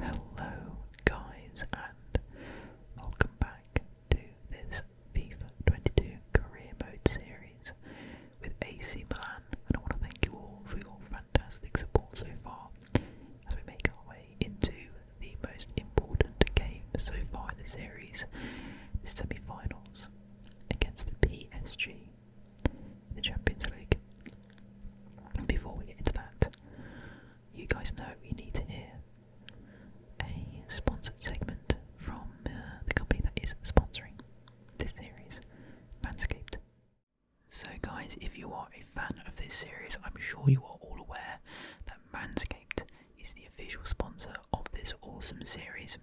Hello guys and welcome back to this FIFA 22 career mode series with AC Milan and I want to thank you all for your fantastic support so far as we make our way into the most important game so far in the series, the semi-finals against the PSG in the Champions League. Before we get into that, you guys know you need to hear a sponsored segment from uh, the company that is sponsoring this series, Manscaped. So, guys, if you are a fan of this series, I'm sure you are all aware that Manscaped is the official sponsor of this awesome series.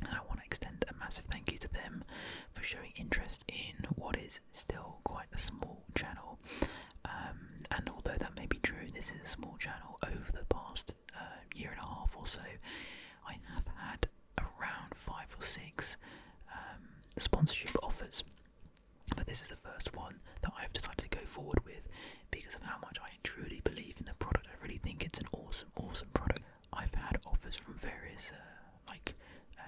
And I want to extend a massive thank you to them for showing interest in what is still quite a small channel. Um, and although that may be true, this is a small channel over the past uh, year and a half or so. I have had around five or six um, sponsorship offers, but this is the first one that I've decided to go forward with because of how much I truly believe in the product. I really think it's an awesome, awesome product. I've had offers from various uh, like uh,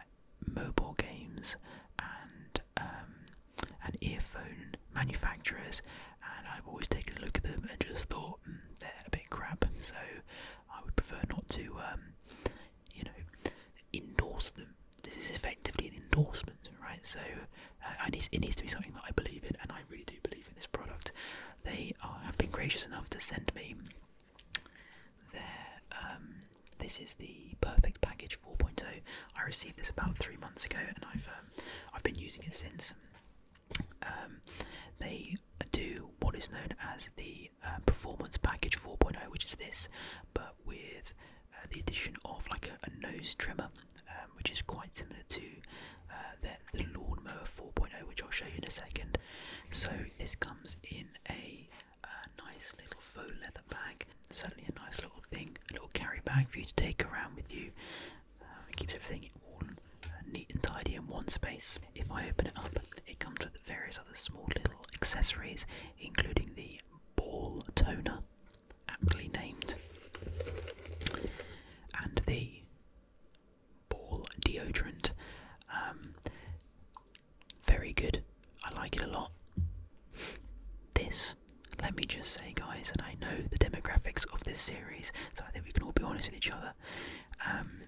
mobile games and um, and earphone manufacturers, and I've always taken a look at them and just thought hmm, they're a bit crap. So I would prefer not to, um, you know, endorse them. This is effectively an endorsement, right? So uh, need, it needs to be something that I believe in, and I really do believe in this product. They have been gracious enough to send me there, um, this is the Perfect Package 4.0. I received this about three months ago, and I've um, I've been using it since. Um, they do what is known as the uh, Performance Package 4.0, which is this, but with uh, the addition of like a, nose trimmer, which is quite similar to uh, the, lawn mower 4.0, which I'll show you in a second. So this comes in a a nice little faux leather bag. Certainly a nice little thing, a little carry bag for you to take around with you. Um, it keeps everything all uh, neat and tidy in one space. If I open it up, it comes with various other small little accessories, including the ball toner, aptly named, and the ball deodorant. Um, very good. I like it a lot. This, let me just say, guys, and I know the demographics of this series, so I think we can all be honest with each other. Um,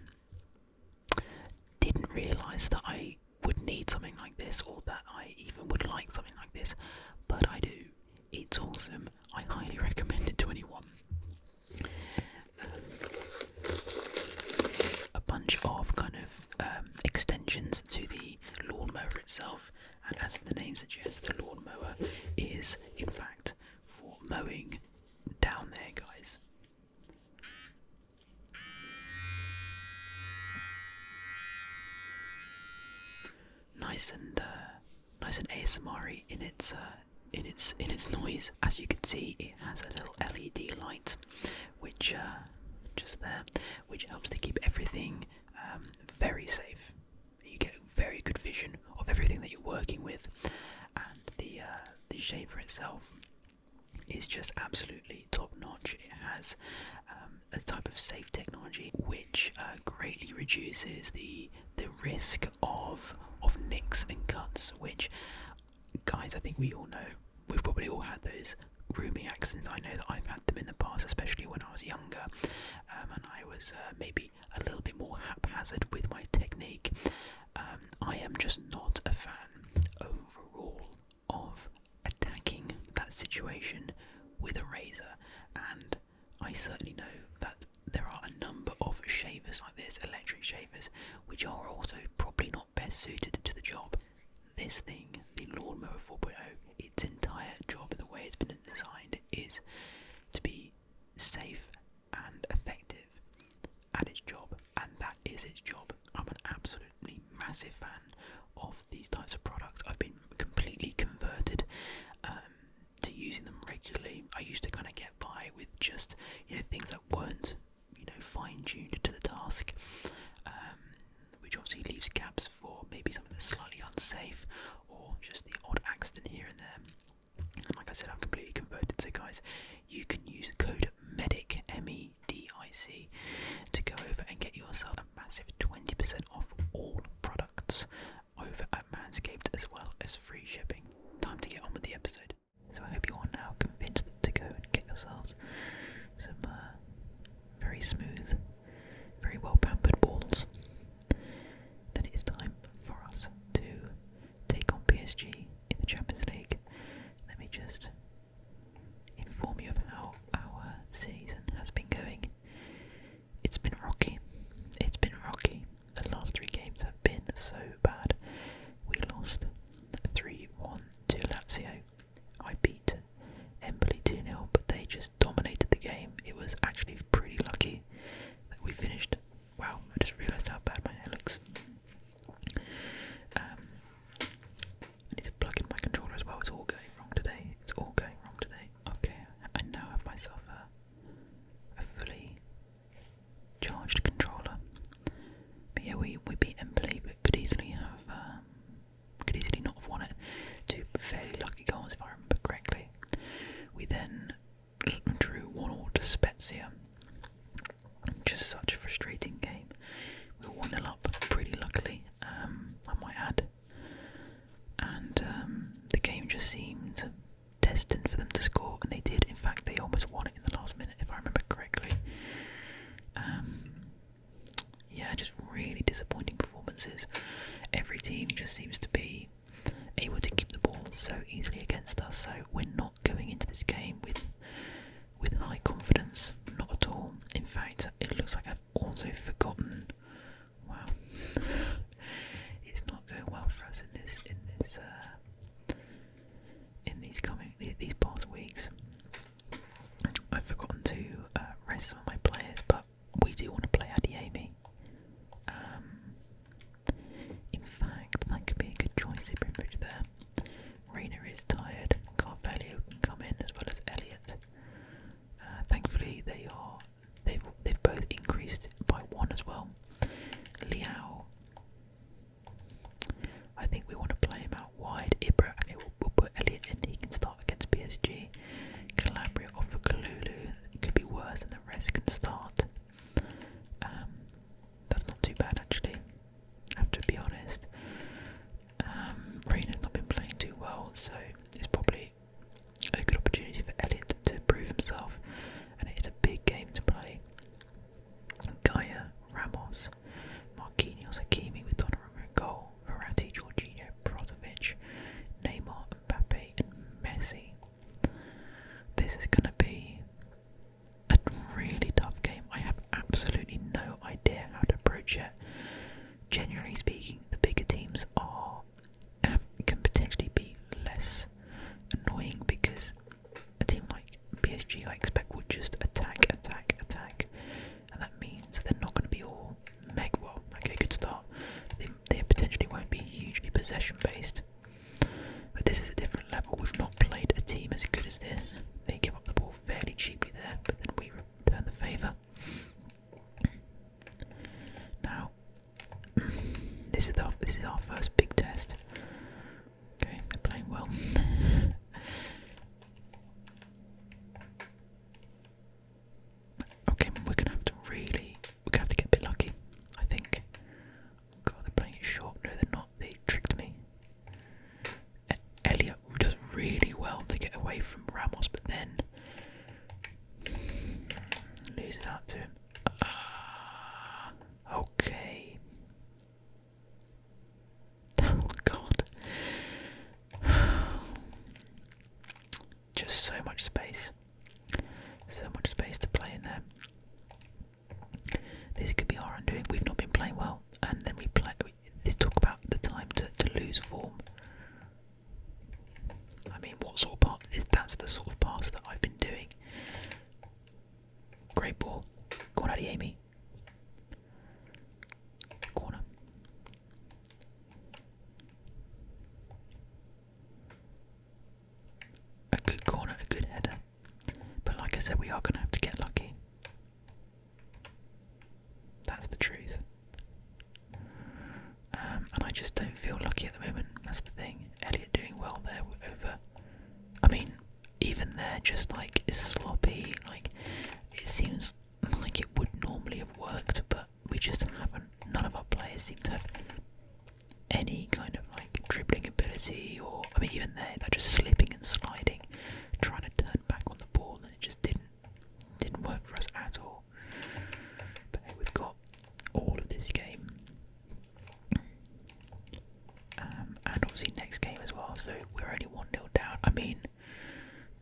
didn't realise that I would need something like this, or that I even would like something like this, but I do. It's awesome. I highly recommend it to anyone. a bunch of kind of um, extensions to the Lawn mower itself, and as the name suggests, the lawn mower is in fact for mowing down there, guys. Nice and uh, nice and ASMR in its uh, in its in its noise. As you can see, it has a little LED light which uh, just there, which helps to keep everything um, very safe. You get a very good vision of everything that you're working with, and the uh, the shaver itself is just absolutely top notch. It has um, a type of safe technology which uh, greatly reduces the the risk of of nicks and cuts, which guys I think we all know we've probably all had those grooming accidents. I know that I've had them in the past, especially when I was younger, um, and I was uh, maybe a little bit more haphazard with my technique. Um, I am just not a fan overall of attacking that situation with a razor, and I certainly know that there are a number of shavers like this, electric shavers, which are also probably not best suited to the job. This thing, the Lawnmower 4.0, its entire job, and the way it's been designed, is to be safe and effective at its job, and that is its job. I'm an absolutely massive fan of these types of products. I've been completely converted um, to using them regularly. I used to kind of get by with just you know things that weren't you know fine tuned to the task. Um, which obviously leaves gaps for maybe something that's slightly unsafe or just the odd accident here and there. like I said, I'm completely converted. So, guys, you can use the code MEDIC, M E D I C, to go over and get yourself a massive 20% off all products over at Manscaped as well as free shipping. Time to get on with the episode. So, I hope you are now convinced to go and get yourselves some uh, very smooth, very well pampered balls, then it is time for us to take on PSG in the Champions League. Let me just inform you of how our season has been going. It's been rocky. It's been rocky. The last three games have been so bad. We lost 3 1 to Lazio. I beat Embley 2 0, but they just dominated the game. It was actually pretty lucky that we finished. Wow, I just realised how bad my hair looks. Um, I need to plug in my controller as well. It's all going wrong today. It's all going wrong today. Okay, I now have myself a, a fully charged controller. But yeah, we, we beat Embley, but could easily have um, could easily not have won it. Two fairly lucky goals, if I remember correctly. We then drew 1 all to Spezia. Just such a frustrating game. We won 1 0 up pretty luckily, um, I might add. And um, the game just seemed destined for them to score, and they did. In fact, they almost won it in the last minute, if I remember correctly. Um, yeah, just really disappointing performances. Every team just seems to be able to keep the ball so easily against us. So we're not going into this game with with high confidence, not at all. In fact, it looks like I've also forgotten. Wow, it's not going well for us in this in this uh, in these coming these past weeks. I've forgotten to uh, rest some of my players, but we do want to play Adiemi. Um, in fact, that could be a good choice to bring there. Reina is tired, Carvalho can come in as well as Elliot. Uh, thankfully, they are they've they've both increased by one as well. Liao, I think we want to play him out wide. Ibra, okay, we we'll put Elliot in. He can start start against PSG. Calabria off for Kalulu could be worse and the rest can start. Um, that's not too bad actually. I have to be honest. Um, Reina's not been playing too well, so it's probably a good opportunity for Elliot to prove himself, and it is a big game to play. Gaia, Ramos, Marquinhos, Hakimi with Donnarumma in goal. Verratti, Jorginho, Brozovic, Neymar, Mbappe, Messi. This is going to be a really tough game. I have absolutely no idea how to approach it. Generally speaking, the bigger teams are can potentially be less annoying because a team like PSG, I expect, would just attack, attack, attack, and that means they're not going to be all meg well. Okay, good start. They, they potentially won't be hugely possession based, but this is a different level. We've not played a team as good as this. They give up the ball fairly cheaply there, but then we return the favour. Now, this is the, this is our first big test. Okay, they're playing well. Okay, we're gonna have to really, we're gonna have to get a bit lucky, I think. God, they're playing it short. No, they're not. They tricked me. Elliot does really well to get away from Ramos, but then loses out to him. Ah, okay. Oh God. Just so much space. So much space to play in there. This could be our undoing. We've not been playing well, and then we play. We, they talk about the time to, to lose form. I mean, what sort of part? This, that's the sort of pass that I've been doing. Great ball. Go on, Amy. Corner. A good corner, a good header. But like I said, we are going to have to get lucky. That's the truth. Um, and I just don't feel lucky at the moment. That's the thing. Elliot doing well there over. I mean, even there, just like is sloppy. Like it seems like it would normally have worked, but we just haven't. None of our players seem to have any kind of like dribbling ability, or I mean, even there, they're just slipping and sliding, trying to turn back on the ball, and it just didn't didn't work for us at all. But hey, we've got all of this game, um, and obviously next game as well. So we're only one nil down. I mean,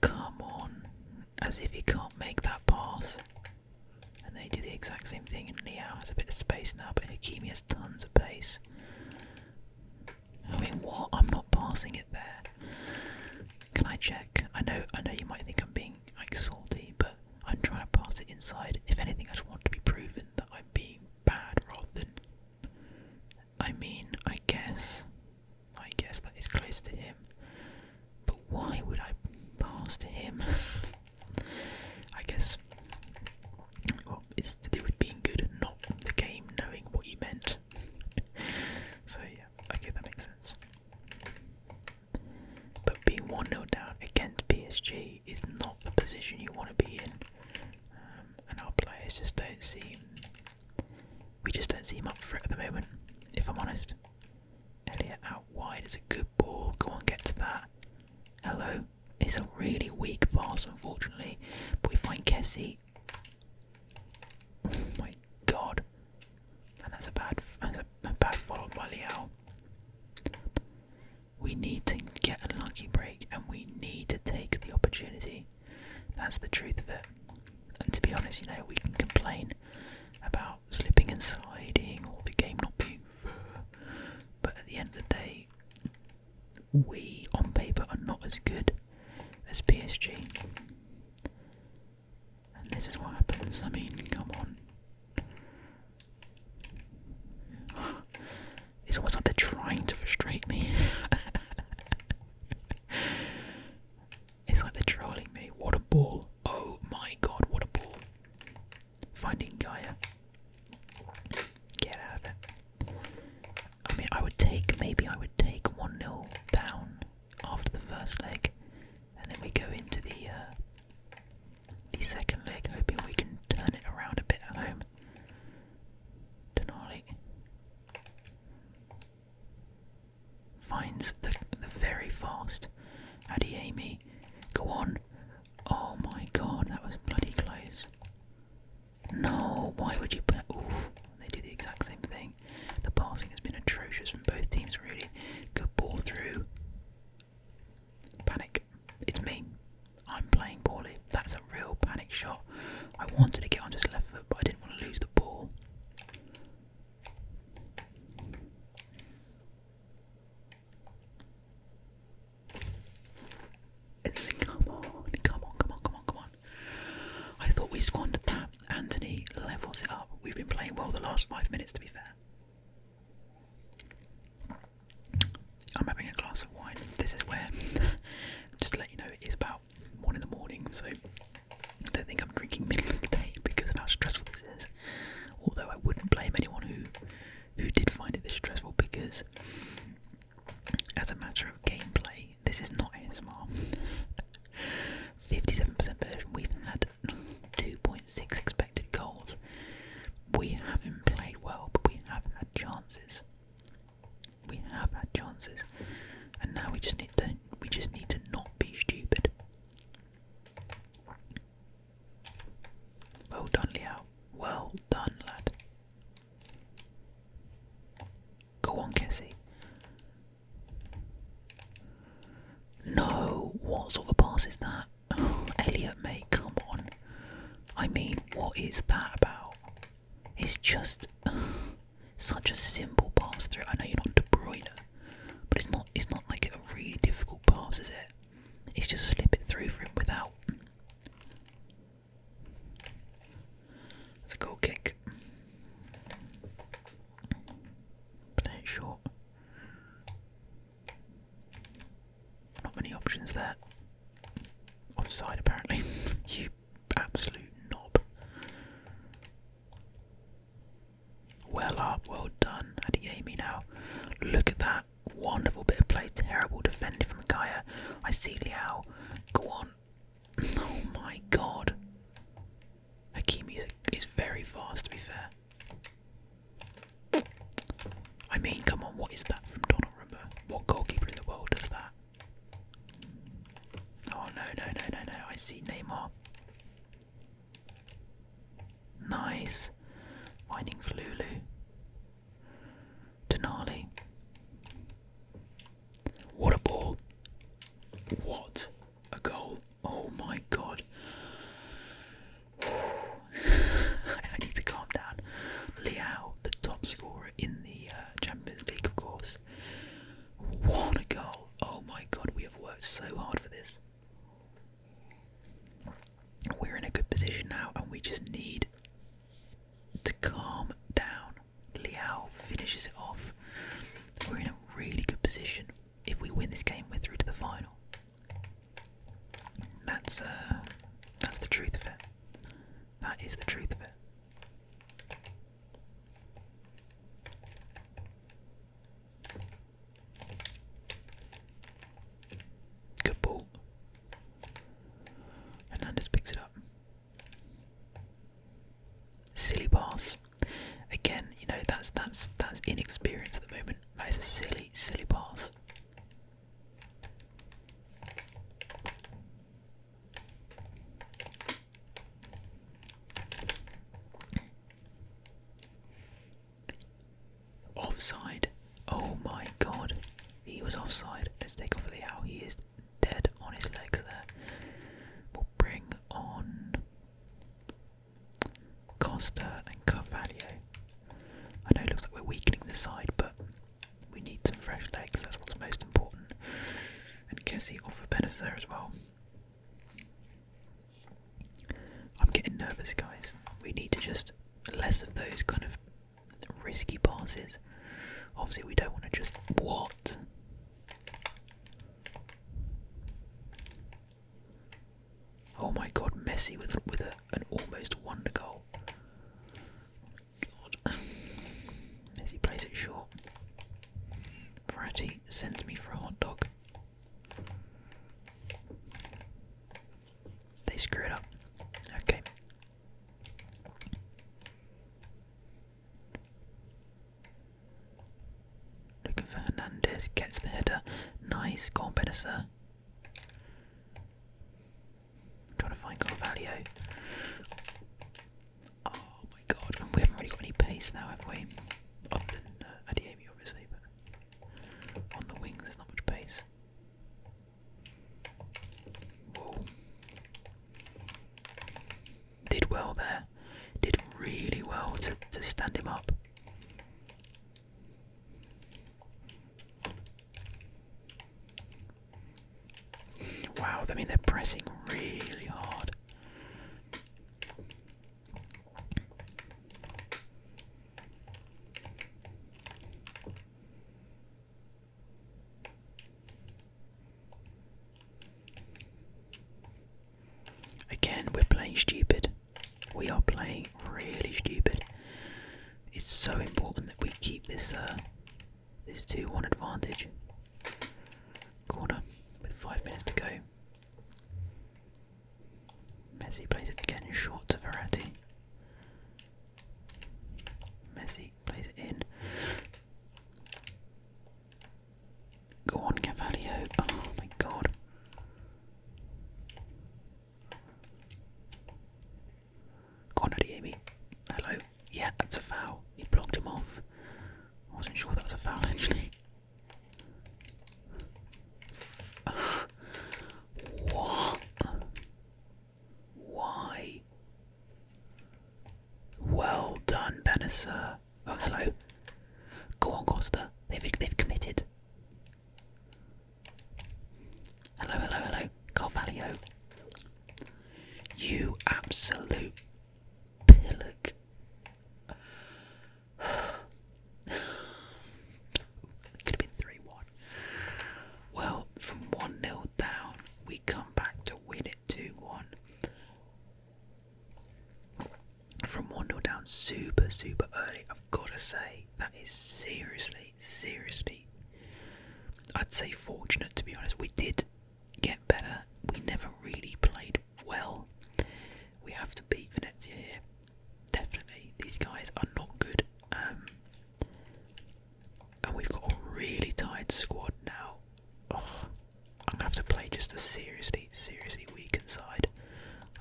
Come on. As if he can't make that pass. And they do the exact same thing, and Liao has a bit of space now, but Hakimi has tons of pace. I mean, what? I'm not passing it there. Can I check? I know, I know you might think I'm being like salty, but I'm trying to pass it inside. If anything, I just want to be proven that I'm being bad rather than. I mean, I guess I guess that is close to him. But why would I pass to him? I guess well, it's to do with being good, not the game knowing what you meant. so yeah, okay, that makes sense. But being 1 0 down against PSG is not the position you want to be in. Um, and our players just don't seem. We just don't seem up for it at the moment, if I'm honest. Elliot out wide is a good ball. Go on, get to that. Hello. It's a really weak pass, unfortunately. But we find Kessie. Oh my god. And that's a bad, that's a, bad follow by Liao. We need to get a lucky break and we need to take the opportunity. That's the truth of it and to be honest, you know, we can complain about slipping and sliding or the game not being fair, but at the end of the day, we on paper are not as good as PSG. And this is what happens. I mean, come on. It's almost like they're trying to frustrate me. It's like they're trolling me. What a ball. Oh my god, what a ball. Finding Gaia. Get out I mean, I would take, maybe I would take 1 0 down after the first leg, and then we go into the, uh, the second leg, hoping we can turn it around a bit at home. Denali. Finds the, very fast. Amy, Go on. Oh my god, that was bloody close. No, why would you put. Oof, they do the exact same thing. The passing has been atrocious from both teams, really. Good ball through. Panic. It's me. I'm playing poorly. That's a real panic shot. I wanted to get on just left foot, but I didn't want to lose the ball come on, come on, come on, come on, come on. I thought we squandered that. Anthony levels it up. We've been playing well the last five minutes, to be fair. I'm having a glass of wine. This is where, just let you know, it is about one in the morning, so I don't think I'm drinking middle of the day because of how stressful this is. Although I wouldn't blame anyone who who did find it this stressful because as a matter of gameplay, this is not ASMR. 57% version, we've had 2.6 expected goals. We haven't played well, but we have had chances. We have had chances. And now we just need to we just need to not be stupid. Well done, Leo. Well done, lad. Go on, Kessie. No, what sort of pass is that? Elliot, mate, come on. I mean, what is that about? It's just such a simple pass through. I know you're not De Bruyne, but it's not it's not like a really difficult pass, is it? It's just slip it through for him without. It's a goal kick. Play it short. Not many options there. Offside apparently. you absolute knob. Well up, uh, well done, Adeyemi now. Look at that. Wonderful bit of play, terrible defending from Gaia. I see Liao. Go on. Oh my god. Hakimi is, is very fast, to be fair. I mean, come on, what is that from Donnarumma? What goalkeeper in the world does that? Oh no, no, no, no, no. I see Neymar. Nice. Finding Lulu. Denali. What a ball. What a goal. Oh my god. I need to calm down. Liao, the top scorer in the uh, Champions League, of course. What a goal. Oh my god, we have worked so hard for this. We're in a good position now, and we just need to calm down. Liao finishes it off. We're in a really good position. If we win this game, we're through to the final. That's uh, that's the truth of it. That is the truth of it. Good ball. Hernandez picks it up. Silly pass. Again, you know that's that's that's inexperience at the moment. That is a silly, silly pass. Offside. Oh my god. He was offside. Let's take off the owl. He is dead on his legs there. We'll bring on Costa and Carvalho. I know it looks like we're weakening the side, but we need some fresh legs. That's what's most important. And Kessie off of Benacer as well. I'm getting nervous, guys. We need to just less of those kind of risky passes. Obviously, we don't want to just. What? Oh my god, Messi with, with an almost wonder goal. God. Messi plays it short. Verratti sends me for a hot dog. They screw it up. Okay. Looking for Hernandez, gets the header. Nice, go on, Trying to find Carvalho. Oh my god, we haven't really got any pace now, have we? Other than uh, obviously, but on the wings, there's not much pace. Whoa. Did well there. Did really well to, to stand him up. Wow, I mean, they're pressing really hard. Again, we're playing stupid. We are playing really stupid. It's so important that we keep this uh this 2-1 advantage. Corner with five minutes to go. Messi plays it again short to Verratti. Messi plays it in. Go on, Cavalio. Oh my god. Corner on, Adiemi. Hello. Yeah, that's a foul. He blocked him off. I wasn't sure that was a foul actually what? Why? Well done, Benisir. Oh, hello. Go on, Costa. They've, committed. Hello, hello, hello. Carvalho. You absolute pillock. Could have 3 1. Well, from 1 nil down, we come back to win it 2 1. From 1 nil down, super, super early. I've got to say, that is seriously, seriously, I'd say fortunate to be honest. We did get better, we never really played well. We have to beat Venezia here. Definitely, these guys are not good. Um, and we've got a really tired squad now. Oh, I'm gonna have to play just a seriously, seriously weakened side.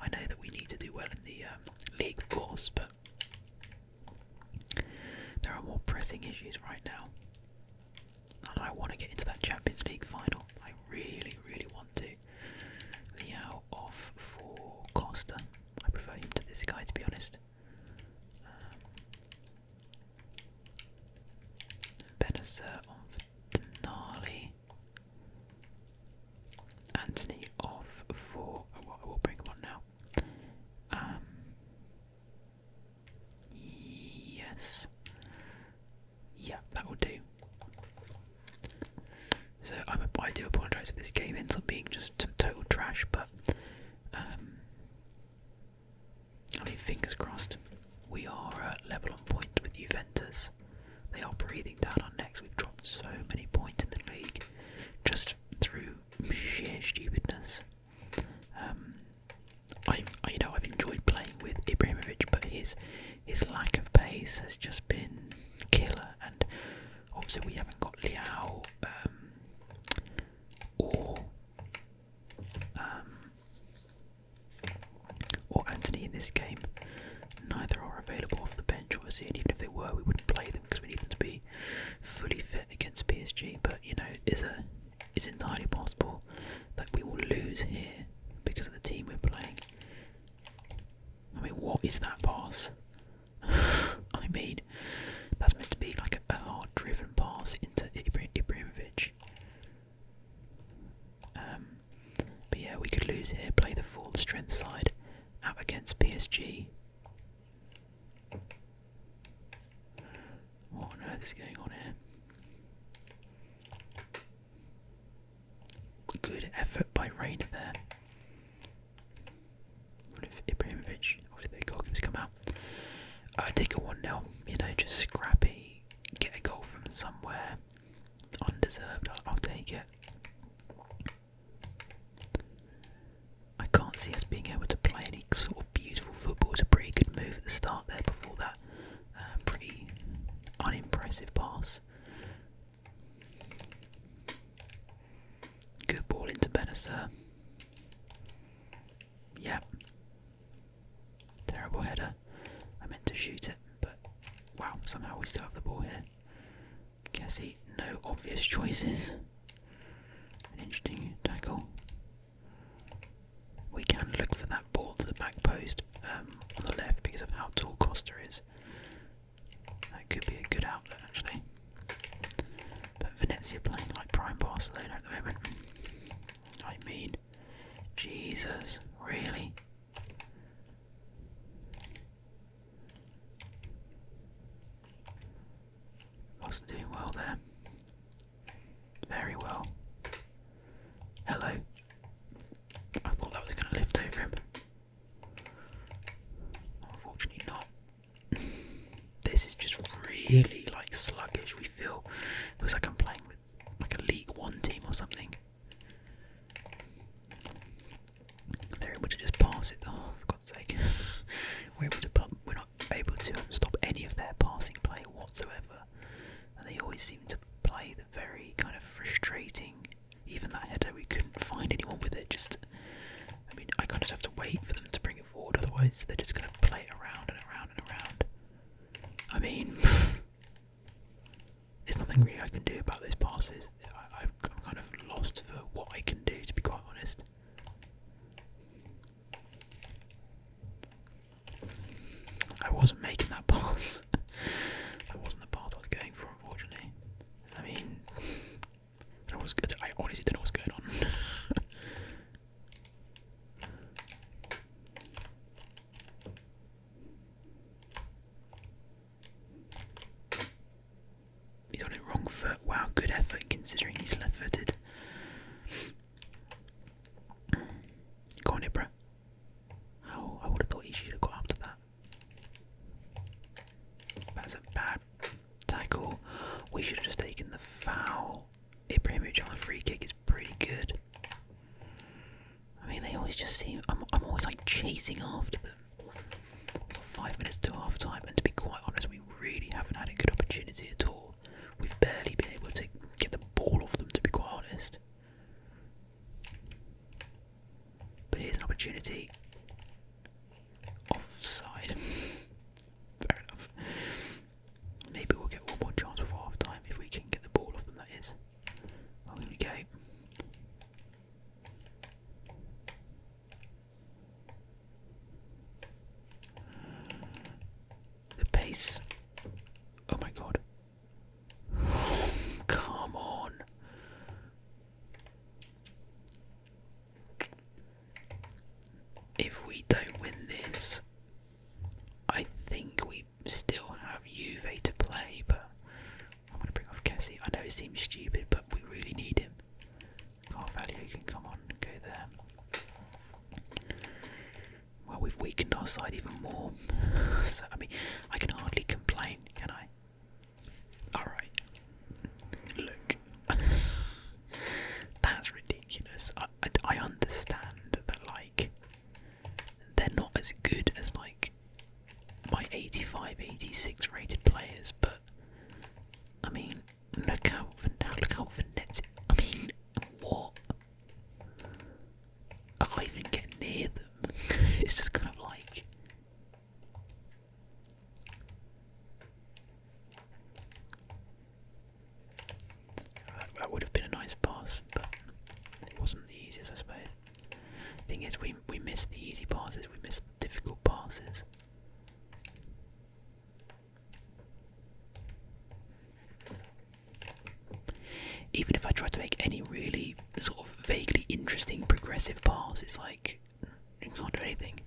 I know that we need to do well in the um, league, of course, but there are more pressing issues right now. And I want to get into that Champions League final. I really, really want to. Liao of for Costa. I prefer him to this guy, to be honest. Um, Benacer Denali. Anthony off for. I will bring him now. Um, yes. Yeah, that will do. So I'm a, I do apologise if this game ends up being just total trash, but um, I mean, fingers crossed, we are level on point with Juventus. They are breathing down our necks. We've dropped so many points in the league just through sheer stupidness. Um, I, I, you know, I've enjoyed playing with Ibrahimovic, but his his lack of pace has just been killer, and obviously we haven't got Liao um, or um, or Anthony in this game. Neither are available off the bench, obviously, and even if they were, we wouldn't play them because we need them to be fully fit against PSG. But you know, it's it's entirely possible that we will lose here because of the team we're playing. I mean, what is that pass? I mean, that's meant to be like a, hard-driven pass into Ibra Ibrahimovic. Um, but yeah, we could lose here. Play the full strength side out against PSG. What on earth is going on here? Good effort by Reina there. What if Ibrahimovic, obviously the goalkeeper's come out. I take a 1 0, you know, just scrappy, get a goal from somewhere. Undeserved, I'll, take it. I can't see us being able to play any sort of beautiful football. It's a pretty good move at the start there before that uh, pretty unimpressive pass. Good ball into Benacer. Yeah. Terrible header. I meant to shoot it, but wow, somehow we still have the ball here. Cassie, no obvious choices. An interesting tackle. We can look for that ball to the back post um, on the left because of how tall Costa is. That could be a good outlet actually. But Venezia playing like prime Barcelona at the moment. I mean, Jesus, really? Wasn't doing well there. Very well. Hello. I thought that was going to lift over him. Unfortunately not. this is just really like sluggish. We feel it looks like I'm playing with like a League One team or something. They're able just pass it. Oh, for God's sake! we're able to. We're not able to stop any of their passing play whatsoever, and they always seem to play the very kind of frustrating even that header, we couldn't find anyone with it. Just, I mean, I kind of have to wait for them to bring it forward, otherwise they're just going to play it around and around and around. I mean, there's nothing really I can do about those passes. I, have am kind of lost for what I can do, to be quite honest. I wasn't making that pass. that wasn't the path I was going for, unfortunately. I mean, that was good. I honestly didn't know was going on. He's on it wrong foot. Wow, good effort considering he's left footed. Go on, Oh, I would have thought he should have got after that. That's a bad tackle. We should have just taken the foul. Ibrahimovic on the free kick is pretty good. I mean, they always just seem. I'm, I'm always like chasing after them. five minutes to half time, and to be quite honest, we really haven't had a good opportunity at all. We've barely been able to get the ball off them, to be quite honest. But here's an opportunity. Offside. Fair enough. Maybe we'll get one more chance before half time if we can get the ball off them, that is. Well, here we go. The pace. Oh my god. Come on. If we don't win this, I think we still have Juve to play, but I'm going to bring off Kessie. I know it seems stupid, but we really need him. Carvalho can come on go there. Well, we've weakened our side even more. so, I mean, I can hardly complain, can I? Alright. Look. That's ridiculous. I, I, understand that, like, they're not as good as, like, my 85, 86 rated players, but, I mean, look out for, look out for I mean, what? I can't even get near them. it's just kind of like. That would have been a nice pass, but it wasn't the easiest, I suppose. Thing is, we we missed the easy passes, we missed the difficult passes. Even if I try to make any really sort of vaguely interesting progressive pass, it's like you not anything.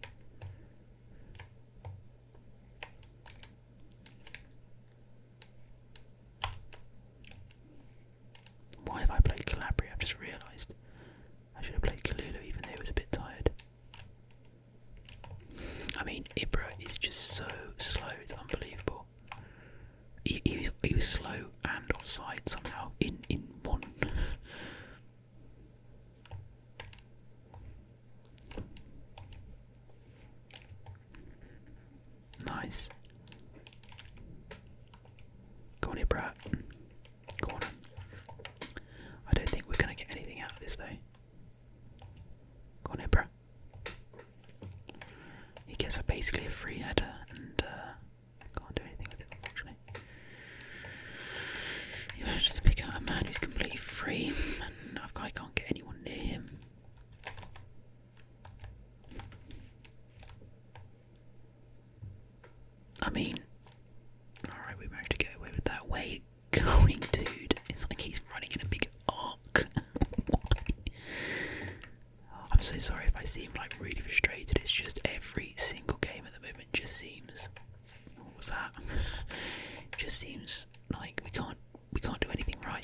Why have I played Calabria? I've just realised. I should have played Kalulu even though it was a bit tired. I mean, Ibra is just so slow, it's unbelievable. he was slow and offside somehow in, in one. Nice. Go on here, brat. on. I don't think we're gonna get anything out of this though. Go on here, He gets a, basically a free header and uh, I can't do anything with it, unfortunately. He managed to pick out a man who's completely free, and I can't get anyone near him. I mean, alright, we managed to get away with that. Where you going, dude? It's like he's running in a big arc. Oh, I'm so sorry if I seem like really frustrated. It's just every single game at the moment it just seems what was that? just seems like we can't we can't do anything right.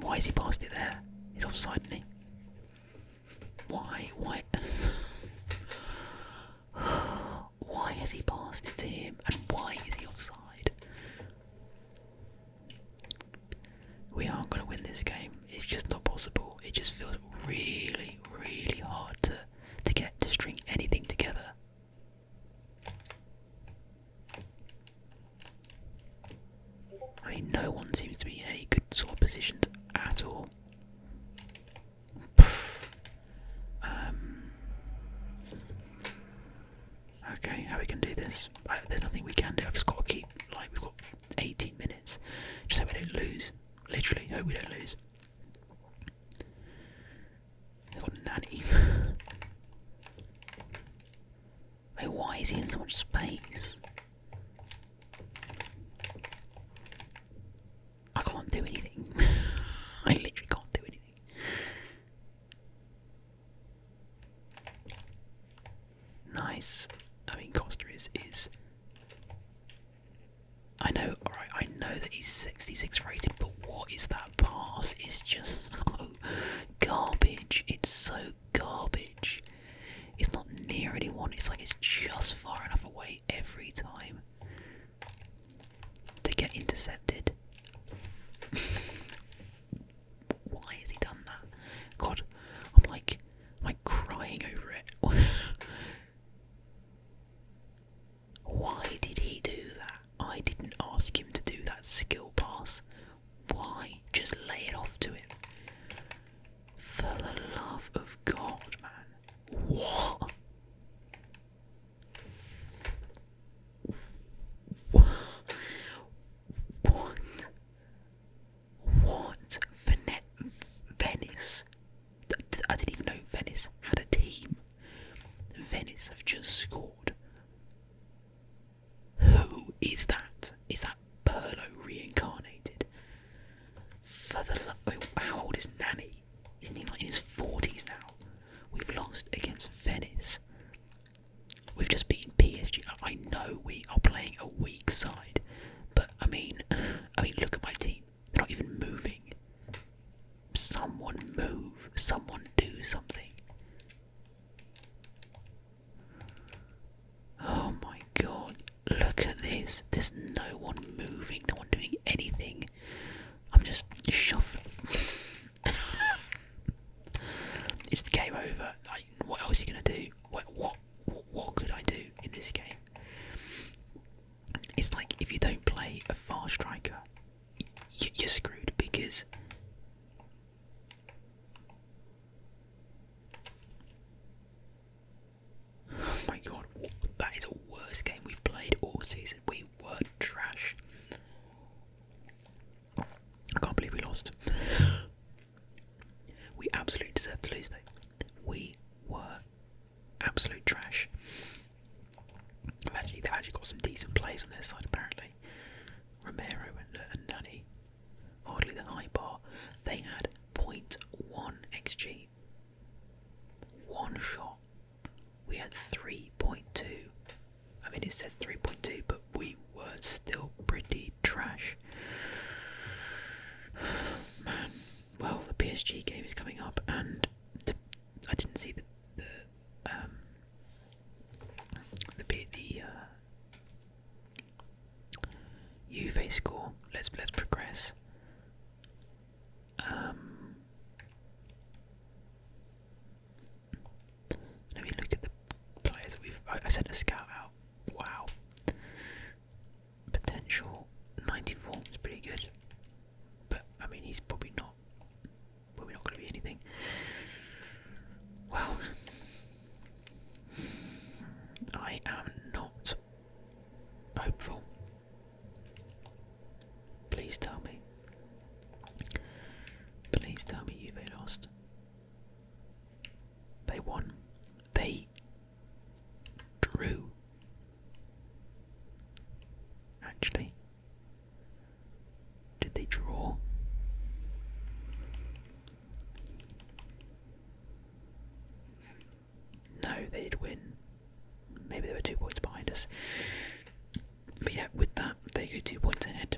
Why has he passed it there? He's offside, is Why? Why? why has he passed it to him? And why is he offside? We aren't going to win this game. It's just not possible. It just feels really, really hard to to get to string anything together. I mean, no one seems to be in any good sort of positions at all. Um, Okay, how we can do this? Uh, there's nothing we can do. I've just got to keep like we've got 18 minutes, just so we don't lose. Literally, hope we don't lose. They got nanny. like, why is he in so much space? I can't do anything. I literally can't do anything. Nice. I mean, Costa is is. I know. All right. I know that he's 66 rated, but what is that pass? It's just so garbage. It's so garbage. It's not near anyone. It's like it's just far enough away every time to get intercepted. why has he done that? God, I'm like, I'm crying over it. why did he do that? I didn't ask him to do that skill pass. Why? Just lay it off to him. For the love of God, man. What? What? What? Venice? I didn't even know Venice had a team. Venice have just scored. Who is that? Is that Perlo reincarnated? For the how old is Nanny? Isn't he like in his forties now? We've lost against Venice. We've just beaten PSG. I know we are playing a weak side, but I mean, I mean, look at my team. They're not even moving. Someone move. Someone do something. Oh my god, look at this. There's no one moving, no one doing anything. I'm just shuffling. it's game over. Like, what else are you gonna do? What, what what could I do in this game? It's like if you don't play a far striker, you're screwed because. Oh my god, that is the worst game we've played all season. We were trash. I can't believe we lost. we absolutely deserved to lose, though. We were absolute trash. Actually, they've actually got some decent plays on their side, apparently. Romero and, and Nani, hardly the high bar. They had one xg. One shot. We had 3.2. I mean, it says 3.2, but we were still pretty trash. Man, well, the PSG game is coming up, and I didn't see the the um, the the uh, Juve score. Let's let's progress. Um, let me look at the players we've. I, sent a scout out. Wow. Potential 94 is pretty good. But, I mean, he's probably not. Probably not going to be anything. Well. I am not hopeful. Please tell me. Please tell me you've lost. They won. They drew. Actually, did they draw? No, they did win. Maybe there were two points behind us. But yeah, with that, they go two points ahead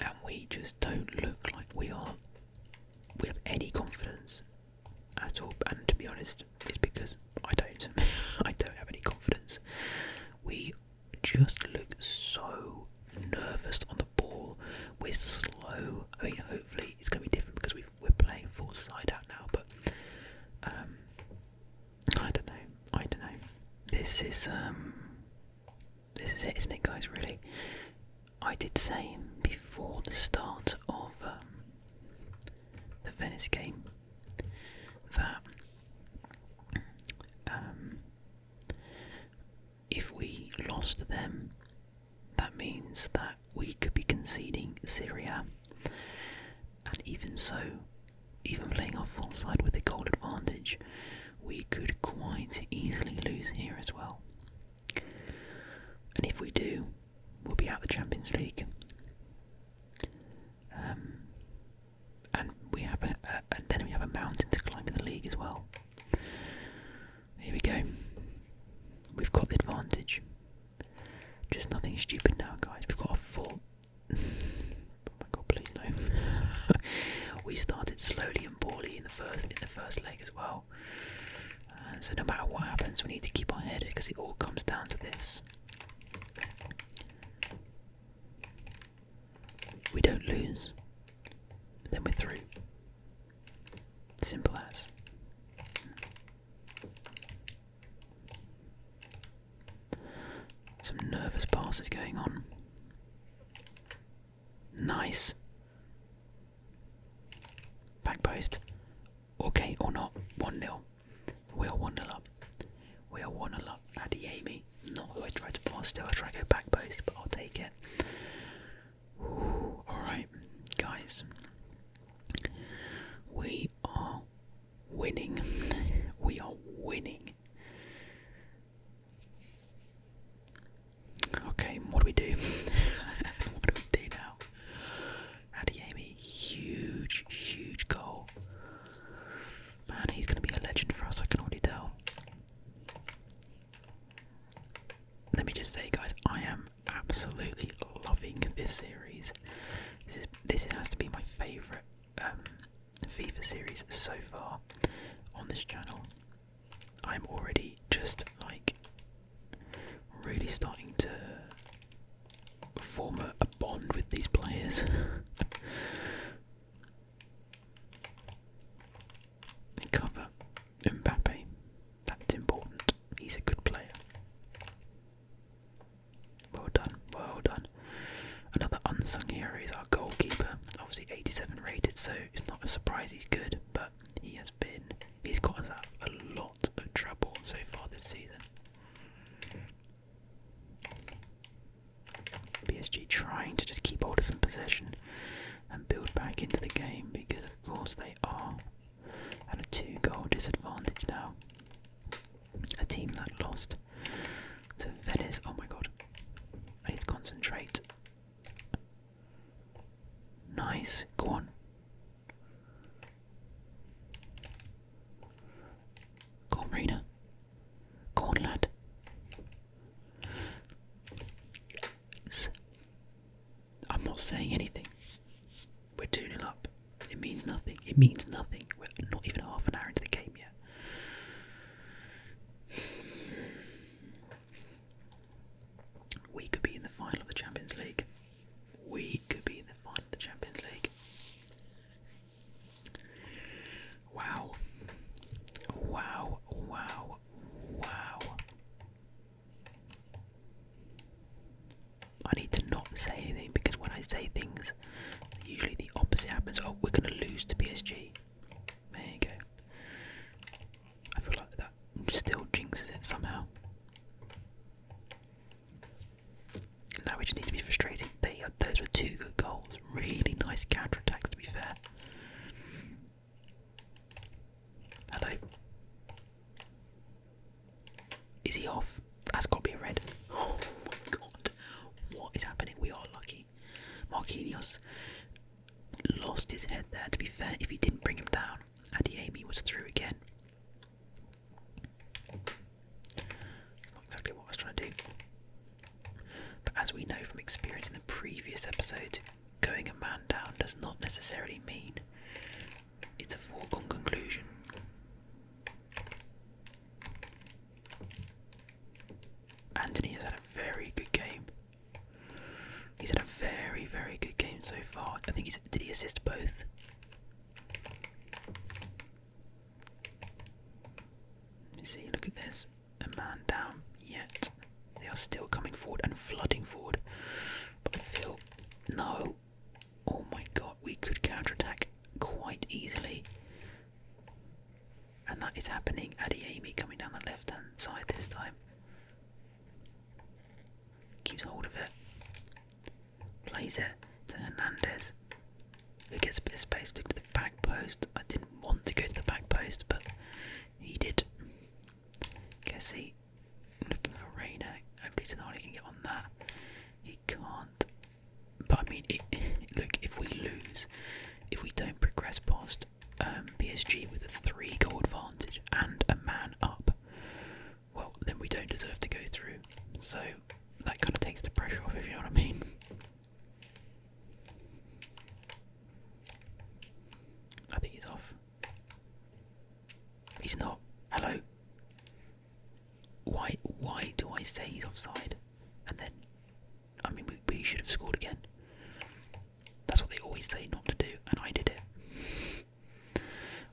and we just don't look like we are we have any confidence at all and to be honest it's because I don't I don't have any confidence we just look so nervous on the ball we're slow I mean hopefully it's gonna be different because we are playing full side out now but um, I don't know I don't know this is um, this is it, isn't it, guys? Really, I did say before the start of um, the Venice game that um, if we lost them, that means that we could be conceding Syria, and even so, even playing our full side with a goal advantage, we could quite easily lose here as well. And if we do, we'll be out of the Champions League. Um, and we have and then we have a mountain to climb in the league as well. Here we go. We've got the advantage. Just nothing stupid now, guys. We've got a full my god, please no. we started slowly and poorly in the first in the first leg as well. Uh, so no matter what happens, we need to keep on head because it all comes down to this. We don't lose, then we're through. Simple as. Some nervous passes going on. Nice. Back post. Okay or not. 1 0. We are 1 0 up. We are 1 0 up. Adiemi. Not who I tried to pass Still, I tried to go back post, but I'll take it. Alright, guys. We are winning. We are winning. Okay, what do we do? what do we do now? Adiemi, huge, huge goal. Man, he's going to be a legend for us, I can already tell. Let me just say, guys, I am absolutely loving this series. This is this has to be my favourite um, FIFA series so far on this channel, I'm already just like really starting to form a, bond with these players. Cover Mbappe. That's important. He's a good player. Well done, well done. Another unsung hero is our goalkeeper, obviously 87 rated, so it's not a surprise he's good, but he has been, he's got us a lot of trouble so far this season. PSG trying to just keep hold of some possession and build back into the game because, of course, they are at a two goal disadvantage now. A team that lost to Venice. Oh my god. I need to concentrate. Nice. Go on. Go on, Marina. Go on, lad. I'm not saying anything. We're tuning up. It means nothing. It means nothing. We're not even half an hour into the game yet. We could be in the final of the Champions League. We could be in the final of the Champions League. Wow. Wow, wow, wow. I need to not say anything because when I say things, usually the opposite happens. Oh, we're going to lose to PSG. There you go. I feel like that still jinxes it somehow. Now we just need to be frustrating. those were two good goals. Really nice counter attacks, to be fair. Hello. Is he off? That's got to be a red. Oh my god. What is happening? We are lucky. Marquinhos lost his head there. To be fair, if he didn't bring him down, Adiemi was through again. That's not exactly what I was trying to do. But as we know from experience in the previous episodes, going a man down does not necessarily mean it's a foregone conclusion. Anthony has had a very good game. He's had a very, very good game so far. I think he's did he assist both? Let me see, look at this. A man down yet. They are still coming forward and flooding forward. But I feel no. Oh my god, we could counterattack quite easily. And that is happening. Addy Amy coming down the left hand side this time. Keeps hold of it. Plays it to Hernandez. Who gets a bit of space to the back post. I didn't want to go to the back post, but he did. Kessie looking for Rainer. Hopefully Sonali can get on that. He can't. But I mean, look, if we lose, if we don't progress past against um, PSG with a three goal advantage and a man up, well, then we don't deserve to go through. So that kind of takes the pressure off, if you know what I mean. I think he's off. He's not. Hello. Why? Why do I say he's offside? And then I mean, we, should have scored again. That's what they always say not to do, and I did it.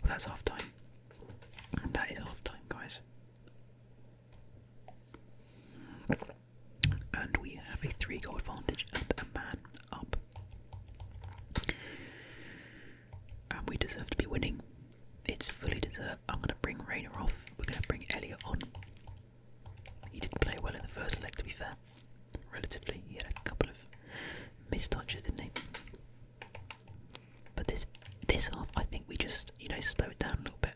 Well, that's half time. That is half time, guys. And we have a three goal advantage and a man up. And we deserve to be winning. It's fully deserved. I'm going to bring Rayner off. We're going to bring Elliot on. He didn't play well in the first leg, to be fair. Relatively, he had a couple of mistouches, didn't he? But this this half, I think we just you know slow it down a little bit,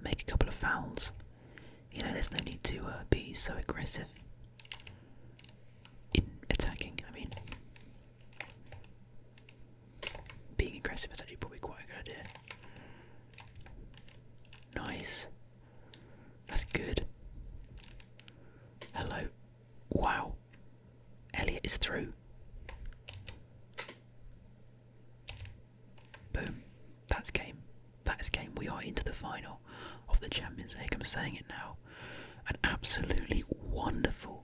make a couple of fouls. You know, there's no need to uh, be so aggressive in attacking. I mean, being aggressive is actually probably quite a good idea. Nice. That's good. Hello. Wow. Elliot is through. Boom. That's game. That is game. We are into the final of the Champions League. I'm saying it now. An absolutely wonderful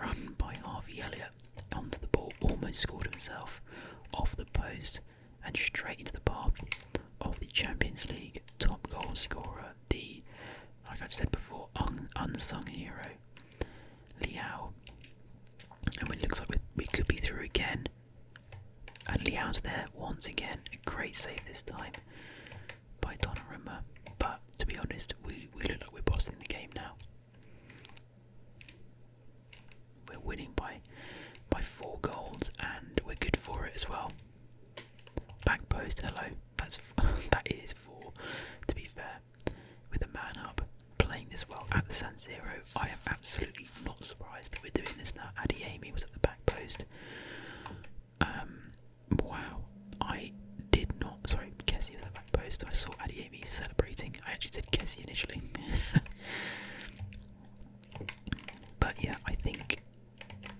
run by Harvey Elliott onto the ball. Almost scored himself off the post and straight into the path of the Champions League top goal scorer, the, like I've said before, unsung hero, Liao. And it looks like we, could be through again. And Liao's there once again. great save this time by Donnarumma. But to be honest, we, we look like we're bossing the game now. We're winning by by four goals, and we're good for it as well. Back post, hello. That's that is four. To be fair, with a man up playing this well at the San Siro, I am absolutely not surprised that we're doing this now. Addy Amy was at the back post. Um, wow, I did not. Sorry, Kessie was at the back post. I saw Addy Amy celebrating. I actually did Kessie initially. But yeah, I think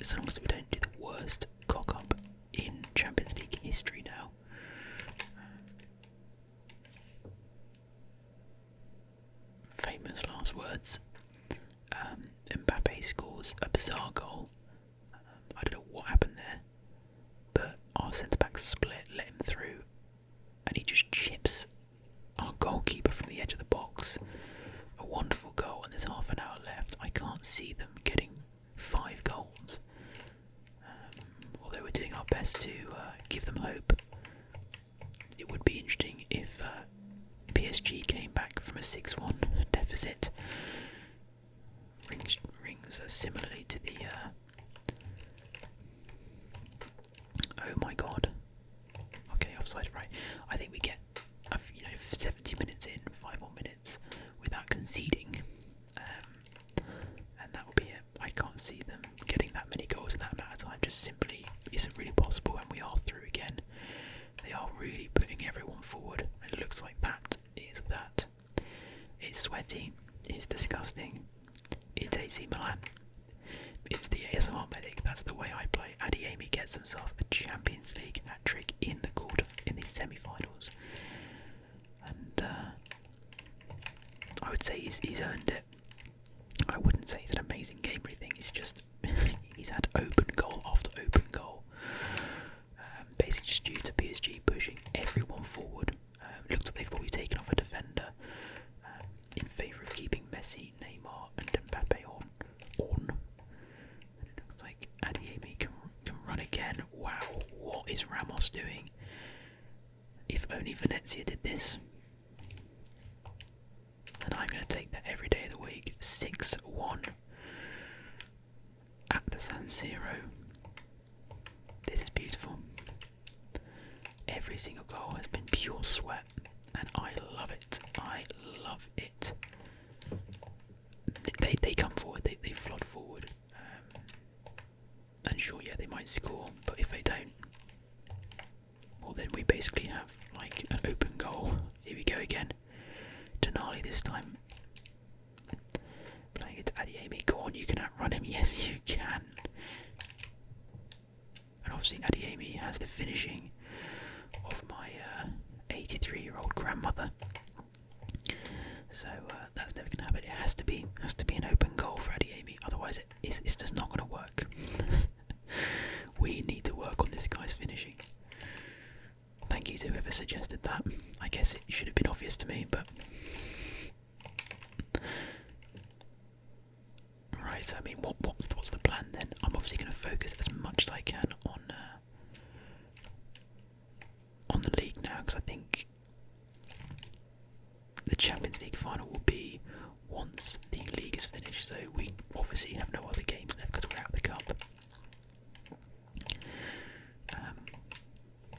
as long as we don't do the worst cock up in Champions League history now. Famous last words. Um, Mbappe scores a bizarre goal. Um, I don't know what happened there, but our centre back split, let him through, and he just chips our goalkeeper from the edge of the box. A wonderful goal, and there's half an hour left. I can't see them getting five goals. Um, although we're doing our best to uh, give them hope. It would be interesting if uh, PSG came back from a 6 1 deficit. Rings, rings uh, similarly to the. Uh, Oh my god. Okay, offside, right. I think we get you know, 70 minutes in, 5 more minutes without conceding. Um, and that will be it. I can't see them getting that many goals in that amount of time. Just simply isn't really possible. And we are through again. They are really putting everyone forward. And it looks like that is that. It's sweaty. It's disgusting. It's AC Milan. It's the ASMR medic. That's the way I play. Adeyemi gets himself a Champions League hat trick in the quarter in the semi-finals, and uh, I would say he's he's earned it. I wouldn't say it's an amazing game. Really He's just he's had open goal after open goal. Um, basically, just due to PSG pushing everyone forward. Um, looks like they've probably taken off a defender. Um, in favour of keeping Messi, Neymar, and Mbappe on. On. And it looks like Adiemi can, can run again. Wow, what is Ramos doing? If only Venezia did this. And I'm going to take that every day of the week. 6 1 at the San Siro. This is beautiful. Every single goal has been pure sweat and I love it. I love it. They they come forward. They they flood forward. Um, and sure, yeah, they might score, but if they don't, well, then we basically have like an open goal. Here we go again. Denali this time. Playing it to Adiemi. Go you can outrun him. Yes, you can. And obviously, Amy has the finishing of my 83-year-old uh, grandmother. So uh, that's never going to happen. It has to be has to be an open goal for Amy. otherwise it's, it's just not going to work. we need to work on this guy's finishing. Thank you to whoever suggested that. I guess it should have been obvious to me, but Right, so I mean, what, what's, the plan then? I'm obviously going to focus as much as I can on uh, on the league now, because I think the Champions League final will be once the league is finished. So we obviously have no other games left because we're out of the cup. Um,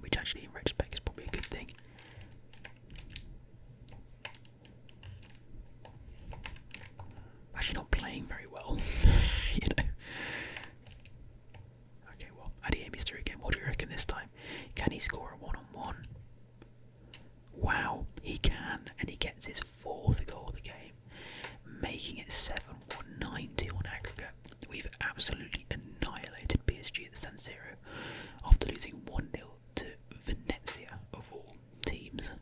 which actually, in retrospect, is probably a good thing. Actually, not playing very well, you know. Okay, well, Adier Mystery again. What do you reckon this time? Can he score a one on one? Wow, he can, and he gets his fourth goal of the game, making it 7 1 on aggregate. We've absolutely annihilated PSG at the San Siro after losing 1 0 to Venezia of all teams,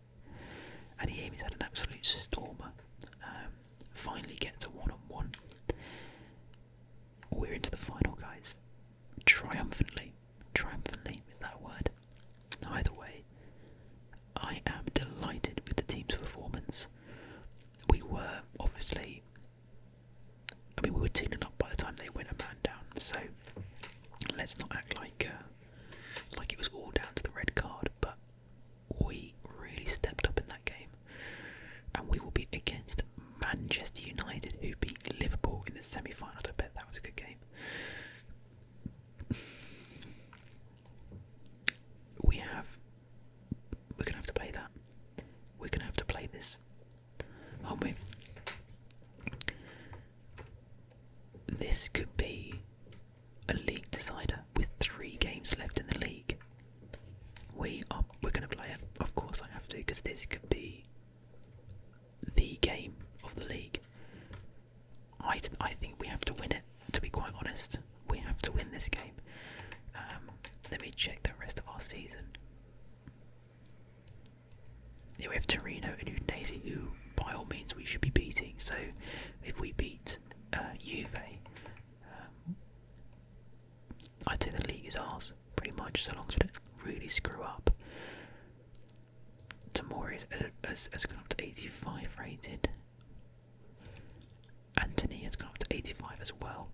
and he aims at an absolute stormer. Um, finally gets a one-on-one. -on -one. we are into the final, guys. Triumphantly, triumphantly is that word. Either way, I am delighted with the team's performance. We were obviously. I mean, we were 2 up by the time they win a man down, so let's not act like uh, like it was all down to the red card, but we really stepped up in that game. And we will be against Manchester United, who beat Liverpool in the semi finals. I bet that was a good game. we have. We're going to have to play that. We're going to have to play this, aren't we? This could be a league decider with three games left in the league. We are we're gonna play it. Of course I have to, because this could be the game of the league. I I think we have to win it. To be quite honest, we have to win this game. Um, let me check the rest of our season we have Torino and Udinese, who by all means we should be beating. So if we beat uh, Juve, um, I'd say the league is ours pretty much, so long as we don't really screw up. Tamori has, has, has gone up to 85 rated. Anthony has gone up to 85 as well.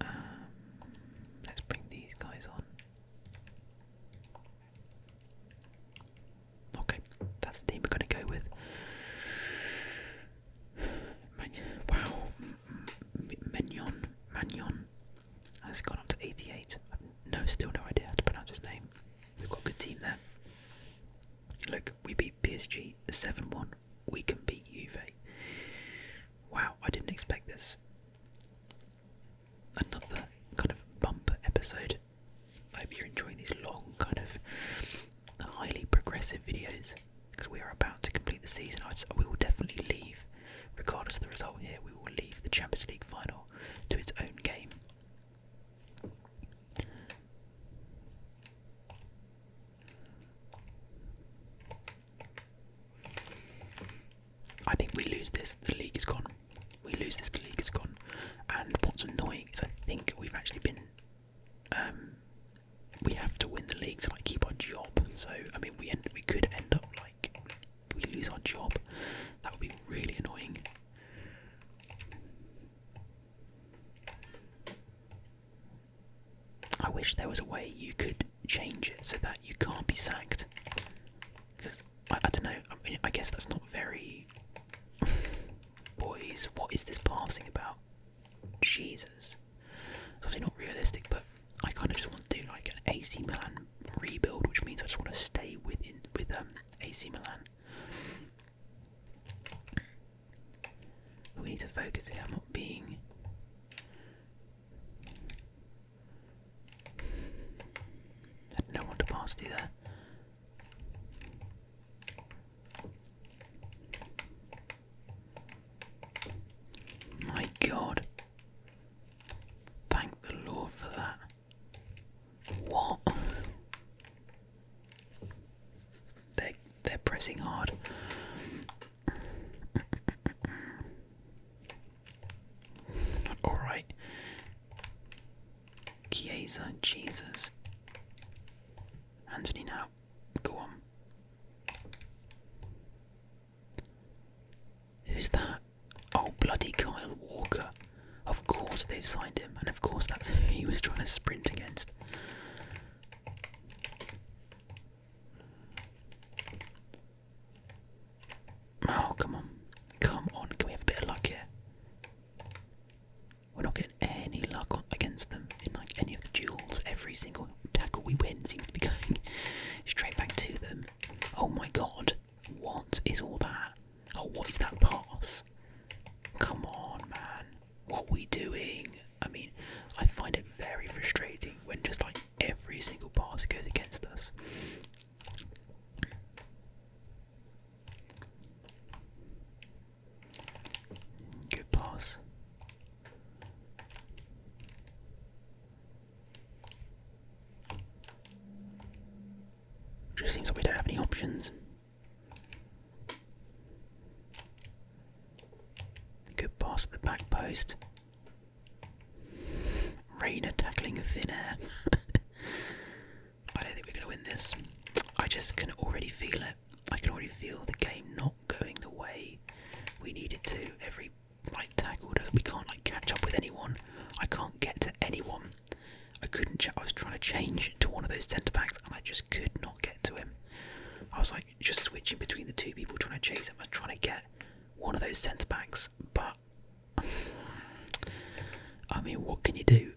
Um, let's bring these guys on. Okay, that's the team we're going to go with. Man wow, Mignon, Magnon has gone up to 88. no, still no idea how to pronounce his name. We've got a good team there. Look, we beat PSG 7 1. We can beat Juve. Wow, I didn't expect this another kind of bumper episode. I hope you're enjoying these long, kind of highly progressive videos because we are about to complete the season. We will definitely leave, regardless of the result here, we will leave the Champions League final to its own game. I think we lose this, the league is gone. We lose this, the league is gone. And what's annoying is I think we've actually been. Um, we have to win the league to like keep our job. So I mean, we end, we could end up like we lose our job. That would be really annoying. I wish there was a way you could change it so that you can't be sacked. Because I, don't know. I guess that's not very. Boys, what is this passing about? Jesus, it's obviously not realistic. But I kind of just want to do like an AC Milan rebuild, which means I just want to stay within with um AC Milan. We need to focus here. i not being. Had no one to pass to there. My God! Thank the Lord for that. What? They they're pressing hard. Alright. Chiesa, Jesus. Anthony now. Go on. Who's that? Oh, bloody Kyle Walker. Of course they've signed him, and of course that's who he was trying to sprint against. Oh, come on. Come on. Can we have a bit of luck here? We're not getting any luck against them in like any of the duels. Every single tackle we win seems to be going straight back to them. Oh my god. What is all that? Oh, what is that pass? Come on, man. What are we doing? I mean, I find it very frustrating when just like every single pass goes against us. Good pass. Just seems like we don't have any options. Good pass at the back post. Rainer tackling thin air. I don't think we're going to win this. I just can already feel it. I can already feel the game not going the way we needed to. Every like tackle We can't like catch up with anyone. I can't get to anyone. I couldn't. I was trying to change to one of those centre backs, and I just could not get to him. I was like just switching between the two people, trying to chase him. I am trying to get one of those centre backs, but I mean, what can you do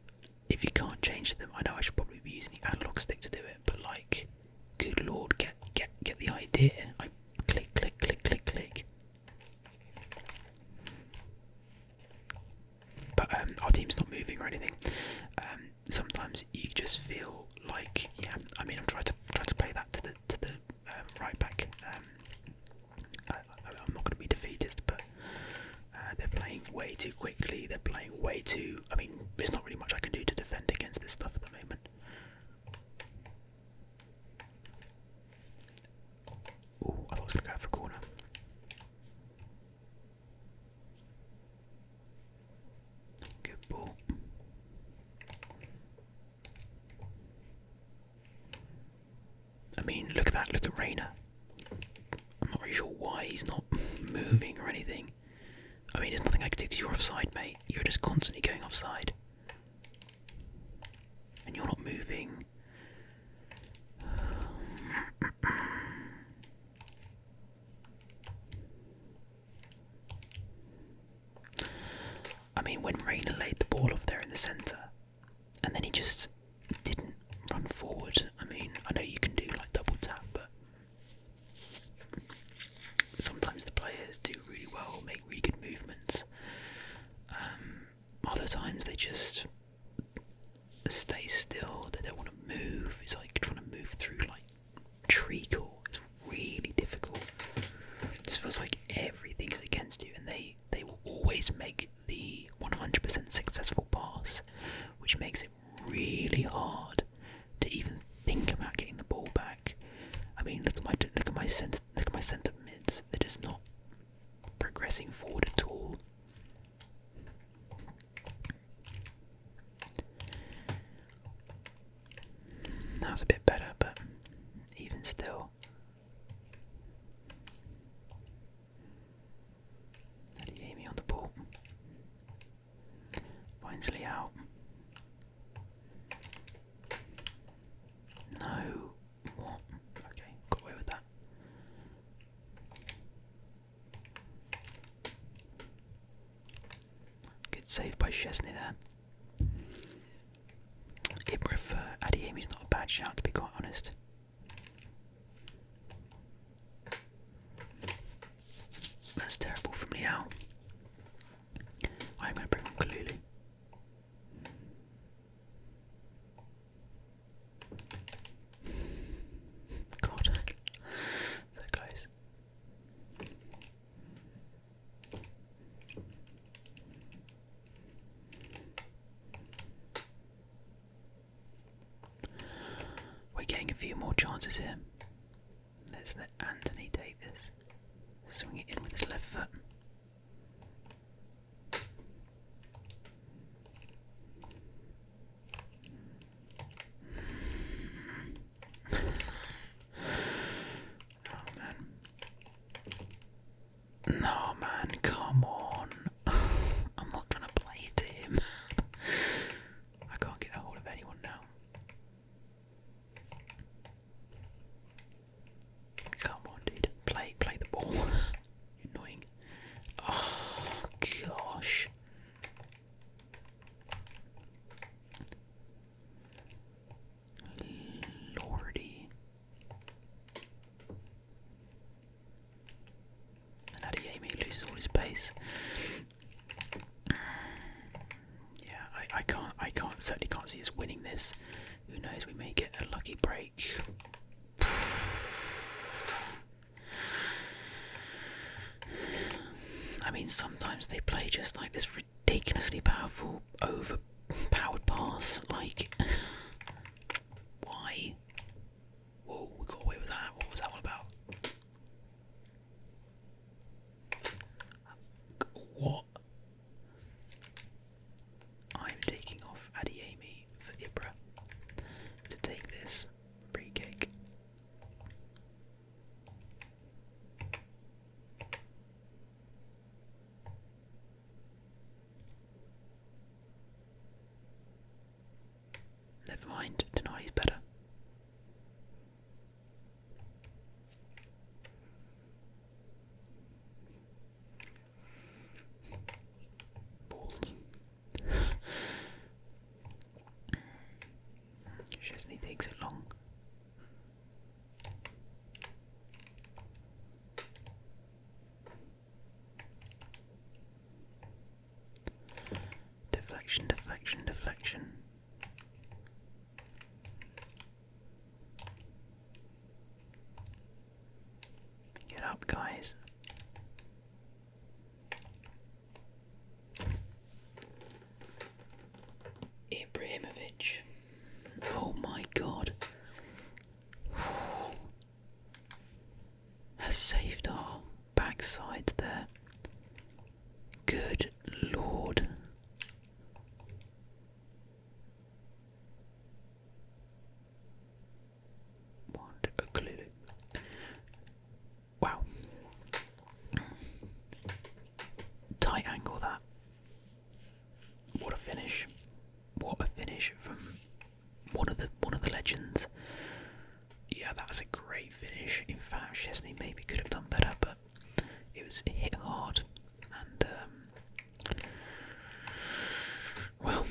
if you can't change them? I know I should probably be using the analog stick to do it, but like, good lord, get get get the idea. I click, click, click, click, click. But um, our team's not moving or anything. Um, sometimes you just feel like, yeah. I mean, I'm trying to trying to play that to the to the um, right back. Um, I, am not going to be defeated, but uh, they're playing way too quickly. They're playing way too. I mean, there's not really much I can do to defend against this stuff at the moment. Oh, I was going to go for a corner. Good ball. I mean, look at that. Look at Rayner. I'm not really sure why he's not moving or anything. I mean, there's nothing I can do because you're offside, mate. You're just constantly going offside. And you're not moving. I mean, when Rayner laid the ball off there in the centre, and then he just didn't run forward. I mean, I know you can do like double tap, but sometimes the players do really well, make really good movements. Um, other times they just stay still. They don't want to move. It's like trying to move through like treacle. It's really difficult. This feels like everything is against you, and they they will always make the 100% successful pass, which makes it really hard to even think about getting the ball back. I mean, look at my look at my centre look at my centre mids. They're just not progressing forward at all. That was a bit better, but even still, that he Daddy me on the ball. Winsley out. No. What? Okay, got away with that. Good save by Chesney there. I prefer Adeyemi is not a bad shot to be quite honest. That's terrible from Liao. I'm going to bring on Kalulu. God, so close. We're getting a few more chances here. Let's let Anthony Davis Swing it in with his left foot. Oh man. No man, come on. I'm not trying to play to him. I can't get a hold of anyone now. Come on dude. Play play the ball. Annoying. Oh gosh. Lordy. And Adeyemi loses all his pace. Yeah, I, I can't I can't certainly can't see us winning this. Who knows, we may get a lucky break. I mean sometimes they play just like this ridiculously powerful overpowered pass like Why? Whoa, we got away with that. What was that all about? What? I'm taking off Adiemi for Ibra to take this free cake. Never mind, Denari's better. Balls. Chesney takes it long. Deflection, deflection, deflection. Get up, guys. Ibrahimovic. Oh my god has saved our backside there. Good lord. Wow. Tight angle that. What a finish! What a finish from one of the one of the legends. Yeah, that was a great finish. In fact, Chesney maybe could have done better, but it was hit hard, and um, well,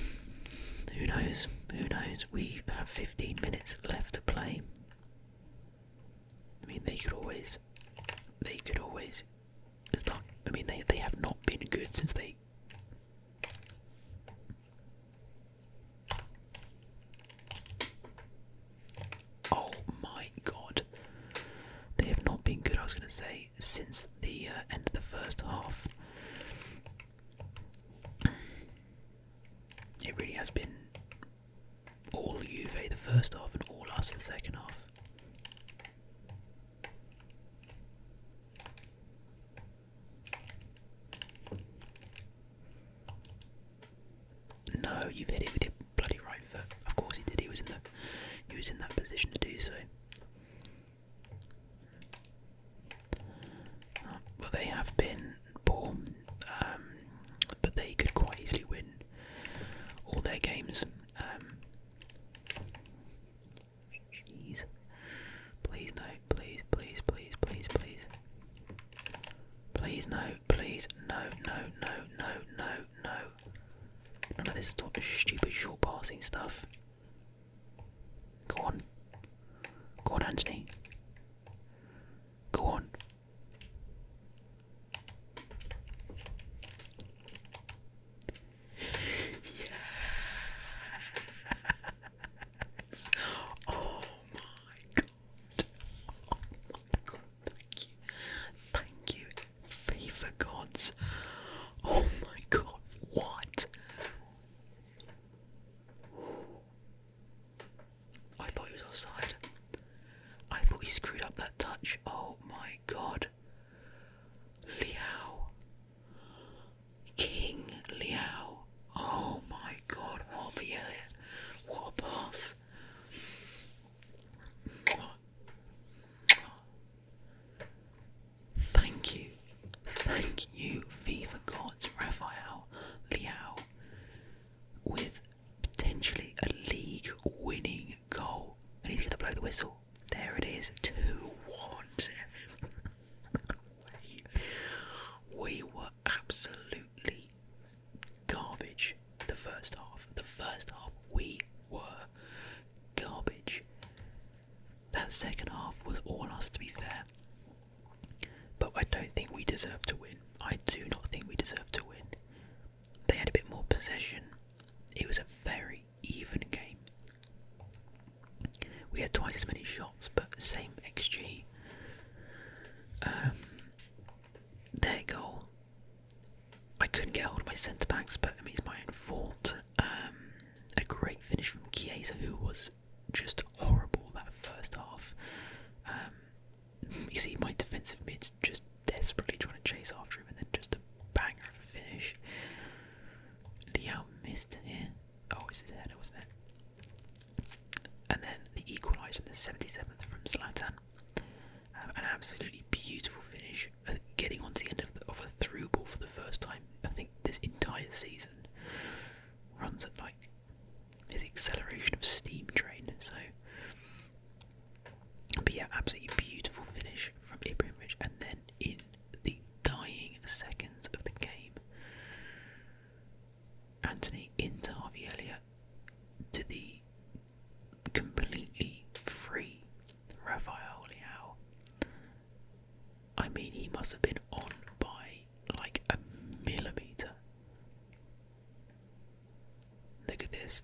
who knows? Who knows? We have 15 minutes left to play. I mean, they could always, they could always. It's I mean, they they have not been good since they Oh my god. They have not been good, I was going to say, since the uh, end of the first half. It really has been all Juve the first half and all us the second half. No, you've hit it with your bloody right foot. Of course he did. He was in the he was in that position to do so. Uh, well, they have been poor, um, but they could quite easily win all their games. Um, Jeez. Please no, please, please, please, please, please. Please no, please, no, no, no, no, no, no. None of this stupid short passing stuff. Go on. Go on, Anthony. Go on. Yes. Oh my god. Oh my god. Thank you. Thank you. Favor gods. Oh my god. What? I thought he was offside. I thought he screwed up that touch. Oh my god. Liao. King Liao. Oh my god, what the Elliot. What a boss. Thank you. Thank you, FIFA Gods Raphael Liao, with potentially a league winning goal. And he's going to blow the whistle. There it is. Two ones. we, we were absolutely garbage the first half. The first half we were garbage. That second half was all us to be fair. But I don't think we deserve to win. I do not think we deserve to win. They had a bit more possession. It was a very very even game. We had twice as many shots, but same XG. Um, their goal, I couldn't get hold of my centre backs, but I mean it's my own fault. Um, a great finish from Kieza, who was just horrible that first half. Um, you see, my defensive mids just desperately trying to chase after him, and then just a banger of a finish. Liao missed here. Oh, it's his header, wasn't it? And then the equaliser in the 77th from Zlatan. Um, an absolutely beautiful finish, uh, getting onto the end of, the, a through ball for the first time. I think this entire season runs at like his acceleration of steam train. So, but yeah, absolutely beautiful finish from Ibrahimovic, and then in the dying seconds of the game. Anthony into to the completely free Rafael Leao. I mean, he must have been on by like a millimetre. Look at this.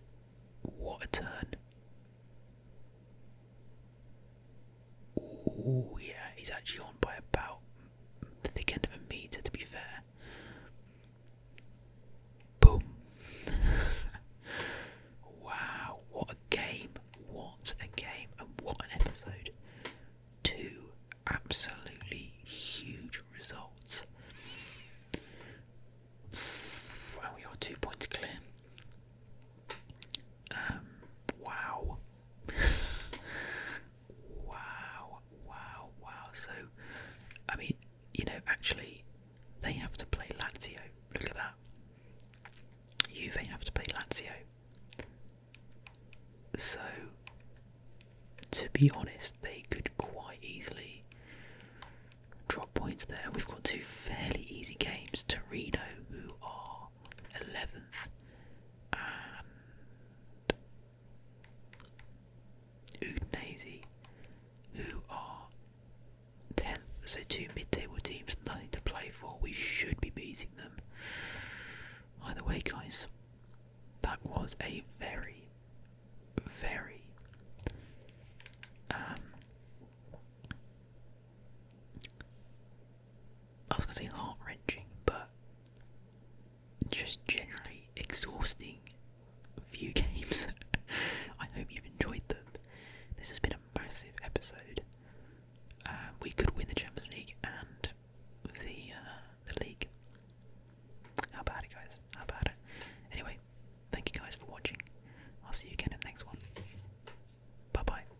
What a turn. Oh yeah, he's actually on by about the thick end of a meter. To be fair, boom! wow, what a game! What a game! And what an episode! Two absolutely huge results. Well, we are two points clear. Um, wow wow, wow, wow. So, I mean, you know, actually, they have to play Lazio. Look at that. Juve have to play Lazio. So, to be honest, they could quite easily drop points there. We've got two fairly easy games. Torino, who are 11th and Udinese, who are 10th. So, two mid table teams, nothing to play for. We should be beating them. Either way, guys, that was a very, very um, I was gonna say heart wrenching, but just generally exhausting few games. I hope you've enjoyed them. This has been a massive episode. Um, we could win the Champions League and the uh, the league. How about it, guys? How about it? Anyway, thank you guys for watching. I'll see you again in the next one. Bye bye.